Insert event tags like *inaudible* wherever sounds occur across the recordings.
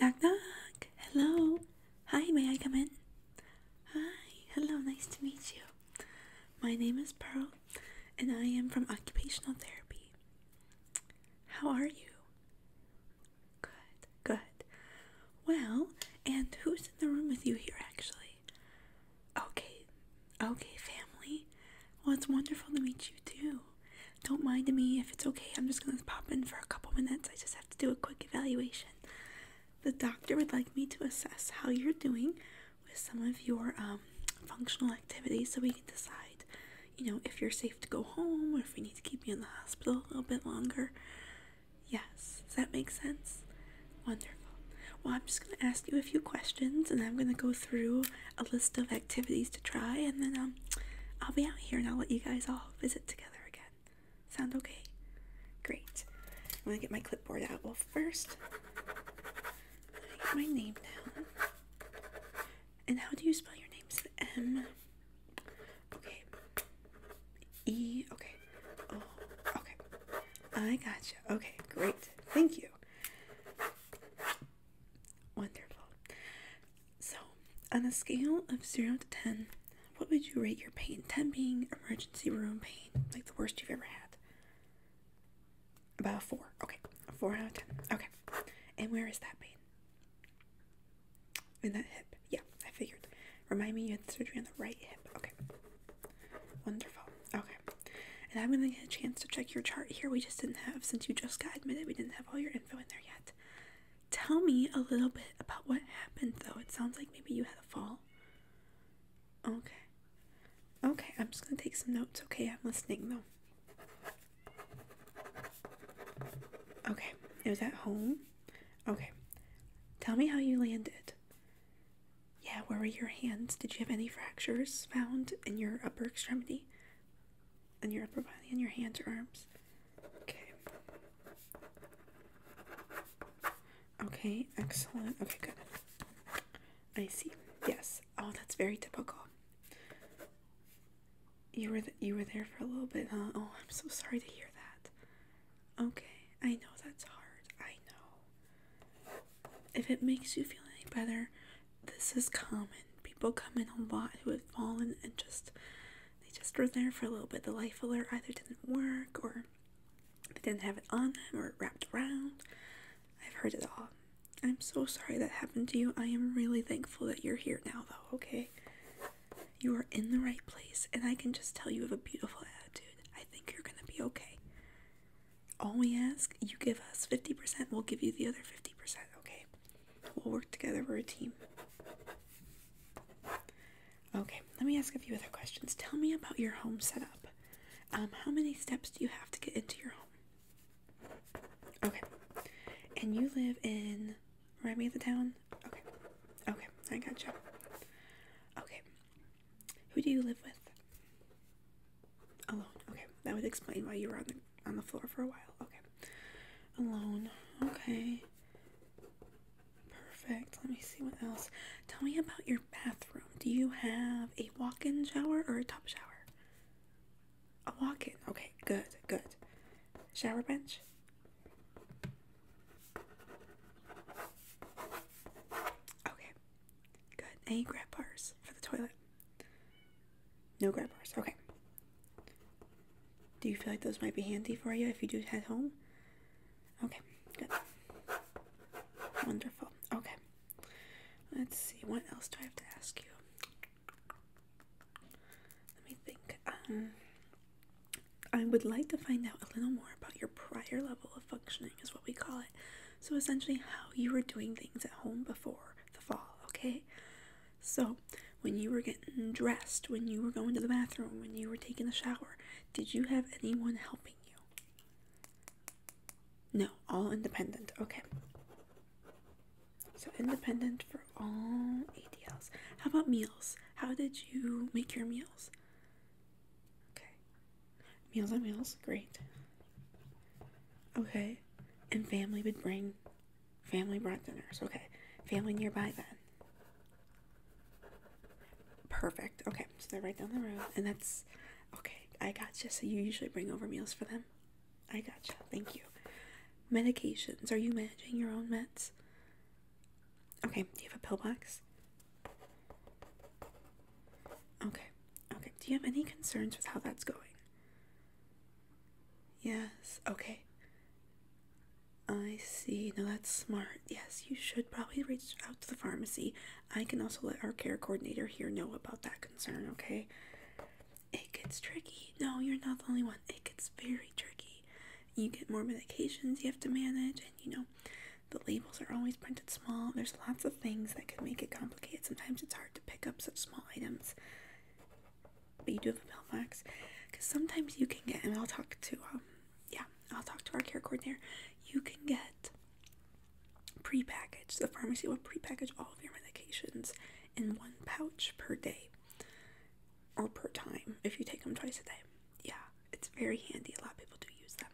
Knock knock. Hello. Hi, may I come in? Hi. Hello, nice to meet you. My name is Pearl and I am from occupational therapy. How are you? Good. Good. Well, and who's in the room with you here actually? Okay. Okay, family. Well, it's wonderful to meet you too. Don't mind me if it's okay. I'm just going to pop in for a couple minutes. I just have to do a quick evaluation. The doctor would like me to assess how you're doing with some of your um, functional activities so we can decide, you know, if you're safe to go home or if we need to keep you in the hospital a little bit longer. Yes, does that make sense? Wonderful. Well, I'm just going to ask you a few questions and I'm going to go through a list of activities to try and then um, I'll be out here and I'll let you guys all visit together again. Sound okay? Great. I'm going to get my clipboard out. Well, first, let my name down. And how do you spell your name? Is Okay. E? Okay. Oh, okay. I gotcha. Okay, great. Thank you. Wonderful. So, on a scale of 0 to 10, what would you rate your pain? 10 being emergency room pain, like the worst you've ever had. About 4. Okay. 4 out of 10. Okay. And where is that pain? In that hip. Yeah, I figured. Remind me you had surgery on the right hip. Okay. Wonderful. Okay. And I'm going to get a chance to check your chart here. We just didn't have, since you just got admitted, we didn't have all your info in there yet. Tell me a little bit about what happened, though. It sounds like maybe you had a fall. Okay. Okay, I'm just going to take some notes. Okay, I'm listening, though. Okay, it was at home. Okay. Tell me how you landed. Yeah, where were your hands? Did you have any fractures found in your upper extremity? In your upper body, in your hands or arms? Okay. Okay, excellent. Okay, good. I see. Yes. Oh, that's very typical. You were you were there for a little bit, huh? Oh, I'm so sorry to hear that. Okay, I know that's hard. I know. If it makes you feel any better, this is common. People come in a lot who have fallen and just they just were there for a little bit. The life alert either didn't work or they didn't have it on them or it wrapped around. I've heard it all. I'm so sorry that happened to you. I am really thankful that you're here now, though, okay? You are in the right place, and I can just tell you have a beautiful attitude. I think you're gonna be okay. All we ask, you give us 50%, we'll give you the other 50%, okay? We'll work together. We're a team. Okay, let me ask a few other questions. Tell me about your home setup. Um, how many steps do you have to get into your home? Okay. And you live in. Remind me of the town? Okay. Okay, I got you. Okay. Who do you live with? Alone. Okay, that would explain why you were on the on the floor for a while. Okay. Alone. Okay. Perfect. Let me see what else. Tell me about your bathroom. Do you have a walk in shower or a tub shower? A walk in. Okay, good, good. Shower bench? Okay, good. Any grab bars for the toilet? No grab bars. Okay. Do you feel like those might be handy for you if you do head home? Okay, good. Wonderful. Okay. Let's see. What else do I have to ask you? Let me think. Um, I would like to find out a little more about your prior level of functioning, is what we call it. So, essentially, how you were doing things at home before the fall, okay? So, when you were getting dressed, when you were going to the bathroom, when you were taking a shower, did you have anyone helping you? No, all independent. Okay. So, independent for all ADLs. How about meals? How did you make your meals? Okay. Meals on meals. Great. Okay. And family would bring Family brought dinners. Okay. Family nearby then. Perfect. Okay. So they're right down the road. And that's okay. I gotcha. So you usually bring over meals for them? I gotcha. Thank you. Medications. Are you managing your own meds? Okay. Do you have a pillbox? Okay. Okay. Do you have any concerns with how that's going? Yes, okay. I see. No, that's smart. Yes, you should probably reach out to the pharmacy. I can also let our care coordinator here know about that concern, okay? It gets tricky. No, you're not the only one. It gets very tricky. You get more medications you have to manage, and you know, the labels are always printed small. There's lots of things that could make it complicated. Sometimes it's hard to pick up such small items but you do have a mail Mailbox because sometimes you can get, and I'll talk to, um, yeah, I'll talk to our care coordinator. You can get prepackaged. The pharmacy will prepackage all of your medications in one pouch per day or per time if you take them twice a day. Yeah, it's very handy. A lot of people do use them.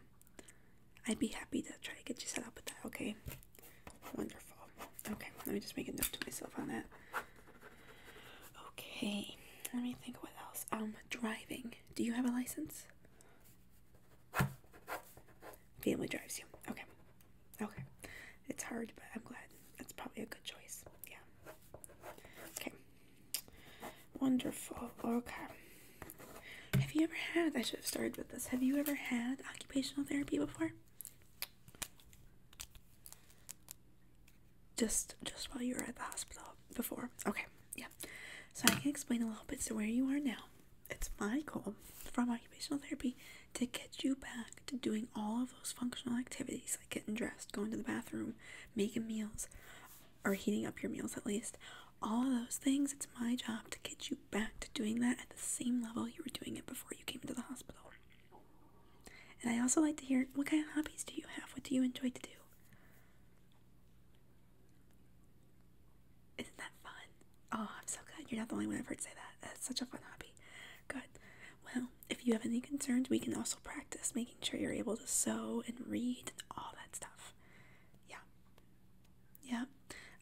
I'd be happy to try to get you set up with that, okay? Wonderful. Okay, let me just make a note to myself on that. Okay, let me think what else. Um, driving. Do you have a license? Family drives you. Okay. Okay. It's hard, but I'm glad. That's probably a good choice. Yeah. Okay. Wonderful. Okay. Have you ever had, I should have started with this, have you ever had occupational therapy before? Just just while you were at the hospital before. Okay, yeah. So I can explain a little bit to where you are now. It's my goal from occupational therapy to get you back to doing all of those functional activities like getting dressed, going to the bathroom, making meals, or heating up your meals at least. All of those things, it's my job to get you back to doing that at the same level you were doing it before you came into the hospital. And I also like to hear what kind of hobbies do you have? What do you enjoy to do? Isn't that fun? Oh, I'm so glad You're not the only one I've heard say that. That's such a fun hobby. Good. Well, if you have any concerns, we can also practice making sure you're able to sew and read and all that stuff. Yeah. Yeah.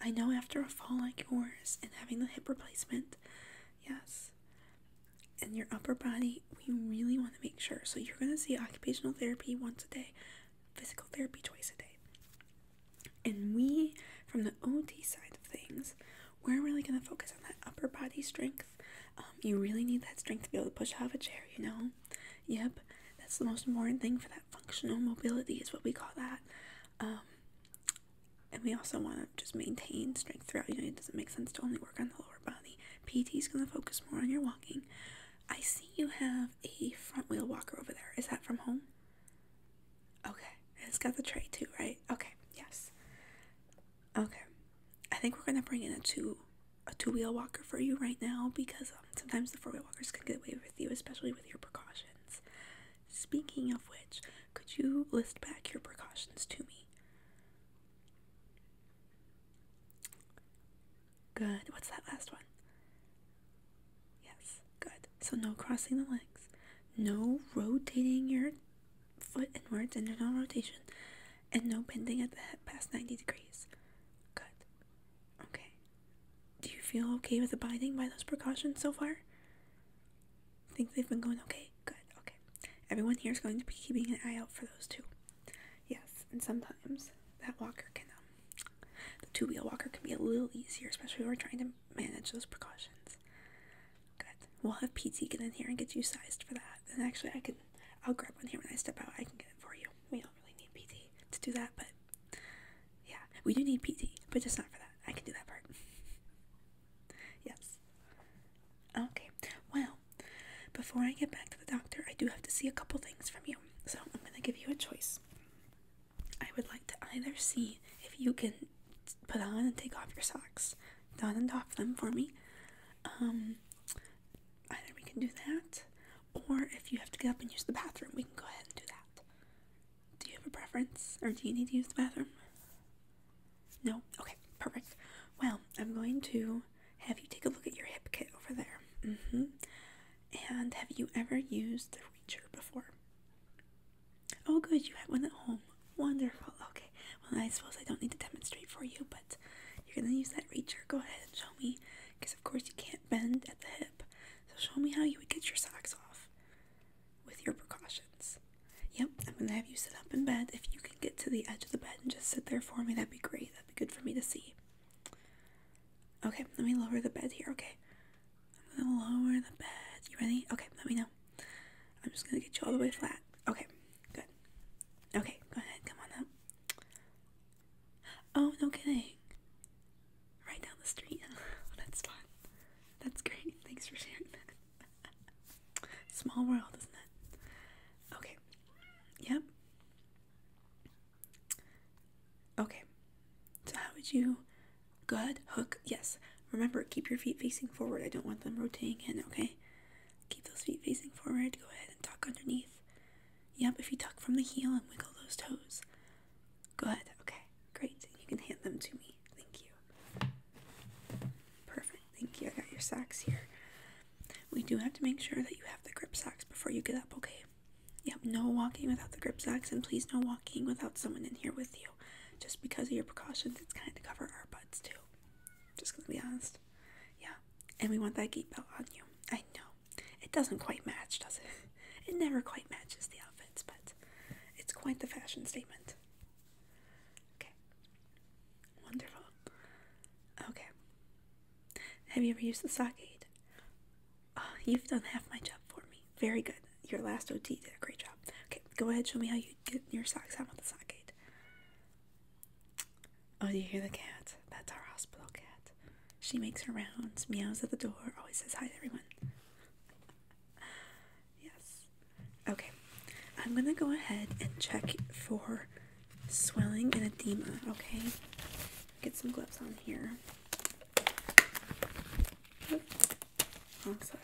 I know after a fall like yours and having the hip replacement, Yes. And your upper body, we really want to make sure. So you're going to see occupational therapy once a day, physical therapy twice a day. And we, from the OT side of things, we're really going to focus on that upper body strength. Um, you really need that strength to be able to push out of a chair, you know? Yep, that's the most important thing for that functional mobility, is what we call that. Um, and we also want to just maintain strength throughout. You know, it doesn't make sense to only work on the lower body. PT is going to focus more on your walking. I see you have a front wheel walker over there. Is that from home? Okay. It's got the tray too, right? Okay. Yes. Okay. I think we're going to bring in a two a two wheel walker for you right now because um, sometimes the four wheel walkers can get away with you, especially with your precautions. Speaking of which, could you list back your precautions to me? Good. What's that last one? Yes, good. So, no crossing the legs, no rotating your foot inwards, internal rotation, and no bending at the head past 90 degrees. Good. Okay. Do you feel okay with abiding by those precautions so far? think they've been going okay. Good. Okay. Everyone here is going to be keeping an eye out for those two. Yes, and sometimes that walker can, um, the two wheel walker can be a little easier, especially when we're trying to manage those precautions. Good. We'll have PT get in here and get you sized for that. And actually, I can, I'll grab one here when I step out. I can get it for you. We don't really need PT to do that, but yeah, we do need PT, but just not for that. I can do that part. *laughs* yes. Okay, well, before I get back to the doctor, I do have to see a couple things from you. So I'm going to give you a choice. I would like to either see if you can put on and take off your socks, don and off them for me. Um, either we can do that, or if you have to get up and use the bathroom, we can go ahead and do that. Do you have a preference or do you need to use the bathroom? No? Okay, perfect. Well, I'm going to have you take a look at your hip kit over there. Mm hmm. And have you ever used the Reacher before? Oh, good, you have one at home. Wonderful. Okay, well, I suppose I don't need to demonstrate for you, but you're going to use that Reacher. Go ahead and show me, because of course you can't bend at the hip. So show me how you would get your socks off with your precautions. Yep, I'm gonna have you sit up in bed. If you can get to the edge of the bed and just sit there for me, that'd be great. That'd be good for me to see. Okay, let me lower the bed here, okay? I'm gonna lower the bed. You ready? Okay, let me know. I'm just gonna get you all the way flat. Okay, good. Okay, go ahead, come on up. Oh, no kidding right down the street. *laughs* Oh, that's fun. That's great. Thanks for sharing *laughs* Small world, isn't it? Okay. Yep. Okay. So how would you good hook? Yes. Remember, keep your feet facing forward. I don't want them rotating in, okay? Keep those feet facing forward. Go ahead and tuck underneath. Yep, if you tuck from the heel and wiggle those toes. Good. Okay. Great. You can hand them to me. Thank you. Perfect. Thank you. I got your socks here. We do have to make sure that you have the grip socks before you get up, okay? Yep, no walking without the grip socks, and please no walking without someone in here with you. Just because of your precautions, it's kind of cover our butts too. Just gonna be honest. Yeah, and we want that gate belt on you. I know. It doesn't quite match, does it? *laughs* *laughs* it never quite matches the outfits, but it's quite the fashion statement. Okay. Wonderful. Okay. Have you ever used the sock aid? Ah, you've done half my job for me. Very good. Your last OT did a great job. Okay, go ahead, show me how you get your socks out with the sock aid. Oh, do you hear the cat? That's our hospital cat. She makes her rounds, meows at the door, always says hi to everyone. *laughs* yes. Okay, I'm gonna go ahead and check for swelling and edema, okay? Get some gloves on here. Oops. Wrong side.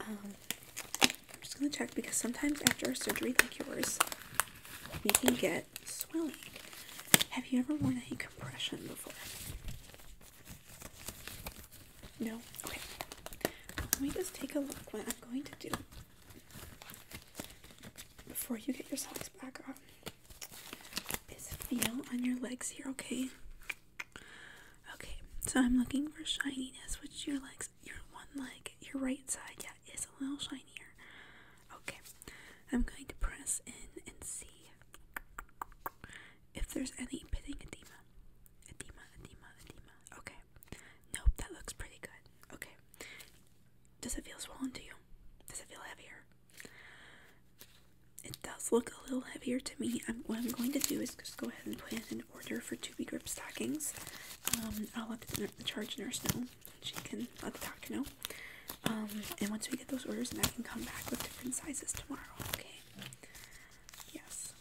Um, I'm just gonna check because sometimes after a surgery like yours, we can get swelling. Have you ever worn a compression before? No? Okay. Let me just take a look what I'm going to do before you get your socks back on. Is feel on your legs here, okay? Okay, so I'm looking for shininess, which your legs, your one leg, your right side, yeah, is a little shinier. Okay, I'm going to press in and see if there's any pitting edema. Edema, edema, edema. Okay. Nope, that looks pretty good. Okay. Does it feel swollen to you? Does it feel heavier? It does look a little heavier to me. what I'm going to do is just go ahead and put in an order for two B grip stockings. Um, I'll let the, the charge nurse know. She can let the doctor know. Um, and once we get those orders, and I can come back with different sizes tomorrow. Okay. Yes,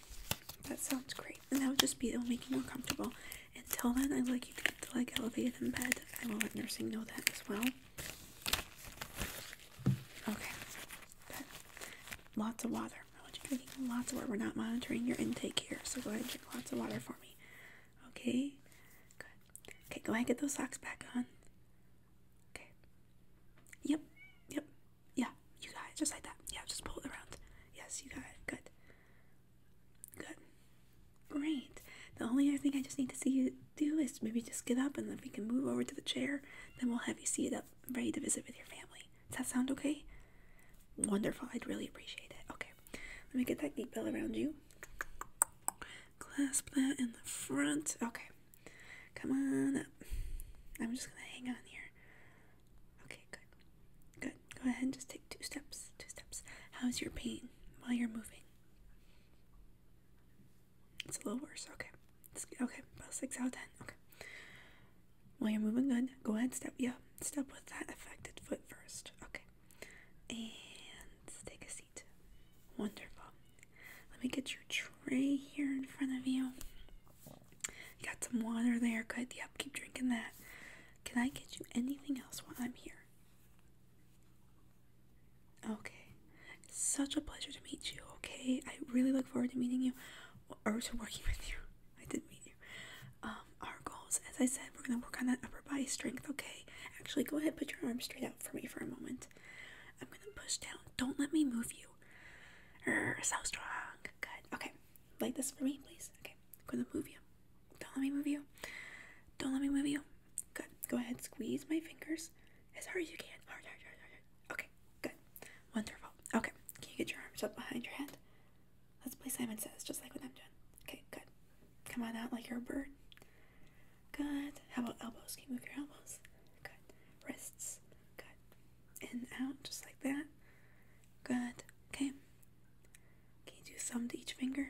that sounds great. And that would just be, it will make you more comfortable. Until then, I'd like you to get the leg elevated in bed. I will let nursing know that as well. Okay, good. Lots of water. I want you drinking lots of water. We're not monitoring your intake here, so go ahead and drink lots of water for me. Okay, good. Okay, go ahead and get those socks back on. Okay. Yep. Yep. Yeah. You got it. Just like that. Yeah. Just pull it around. Yes. You got it. Good. Good. Great. The only other thing I just need to see you do is maybe just get up and then we can move over to the chair, then we'll have you seated up, ready to visit with your family. Does that sound okay? Wonderful. I'd really appreciate it. Okay. Let me get that gate belt around you. Clasp that in the front. Okay. Come on up. I'm just gonna hang on here. Okay, good. Good. Go ahead and just take two steps. Two steps. How's your pain while you're moving? It's a little worse. Okay. okay. About six out of ten. Okay. While you're moving good, go ahead and step. Yeah. Step with that affected foot first. Okay. And take a seat. Wonderful. Let me get your tray here in front of you. got some water there. Good. Yep, keep drinking that. Can I get you anything else while I'm here? Okay. such a pleasure to meet you, okay? I really look forward to meeting you or to working *laughs* with you. I did meet you. Um, our goals, as I said, we're going to work on that upper body strength, okay? Actually, go ahead, put your arms straight out for me for a moment. I'm gonna push down. Don't let me move you. so strong. Good. Okay. Like this for me, please. Okay. I'm gonna move you. Don't let me move you. Don't let me move you. Good. Go ahead. Squeeze my fingers as hard as you can. Hard, hard, hard, hard. Okay. Good. Wonderful. Okay. Can you get your arms up behind your head? Let's play Simon Says, just like what I'm doing. Okay. Good. Come on out like you're a bird. Good. How about elbows? Can you move your elbows? Good. Wrists. Good. In and out, just like that. Good. Okay. Can you do thumb to each finger?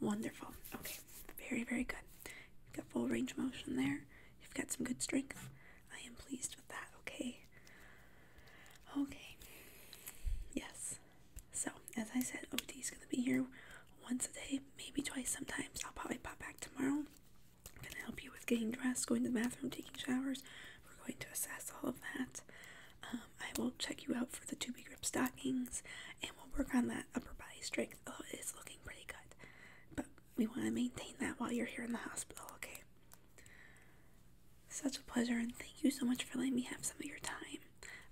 Wonderful. Okay. Very, very good. got full range of motion there. You've got some good strength. I am pleased with that. Okay. Okay. Yes. So, as I said, OT is going to be here once a day, maybe twice sometimes. I'll probably pop back tomorrow. I'm going to help you with getting dressed, going to the bathroom, taking showers. We're going to assess all of that. Um, I will check you out for the two grip stockings and we'll work on that upper body strength. Oh, it's looking pretty good. But we want to maintain that while you're here in the hospital, okay? Such a pleasure and thank you so much for letting me have some of your time.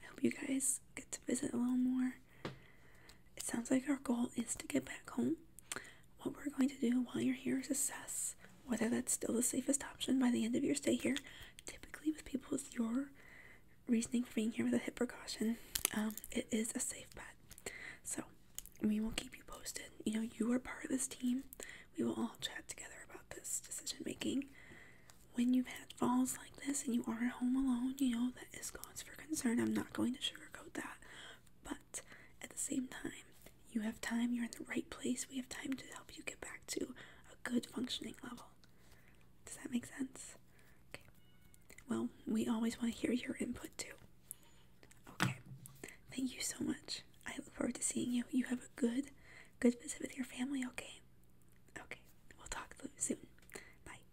I hope you guys get to visit a little more. It sounds like our goal is to get back home. What we're going to do while you're here is assess whether that's still the safest option by the end of your stay here. Typically, with people with your reasoning for being here with a hip precaution, um, it is a safe bet. So, we will keep you posted. You know, you are part of this team. We will all chat together about this decision making. When you've had falls like this and you are at home alone, you know, that is cause for concern. I'm not going to sugarcoat that. But at the same time, you have time, you're in the right place, we have time to help you get back to a good functioning level. Does that make sense? Okay. Well, we always want to hear your input too. Okay. Thank you so much. I look forward to seeing you. You have a good, good visit with your family, okay? Okay. We'll talk soon. Bye.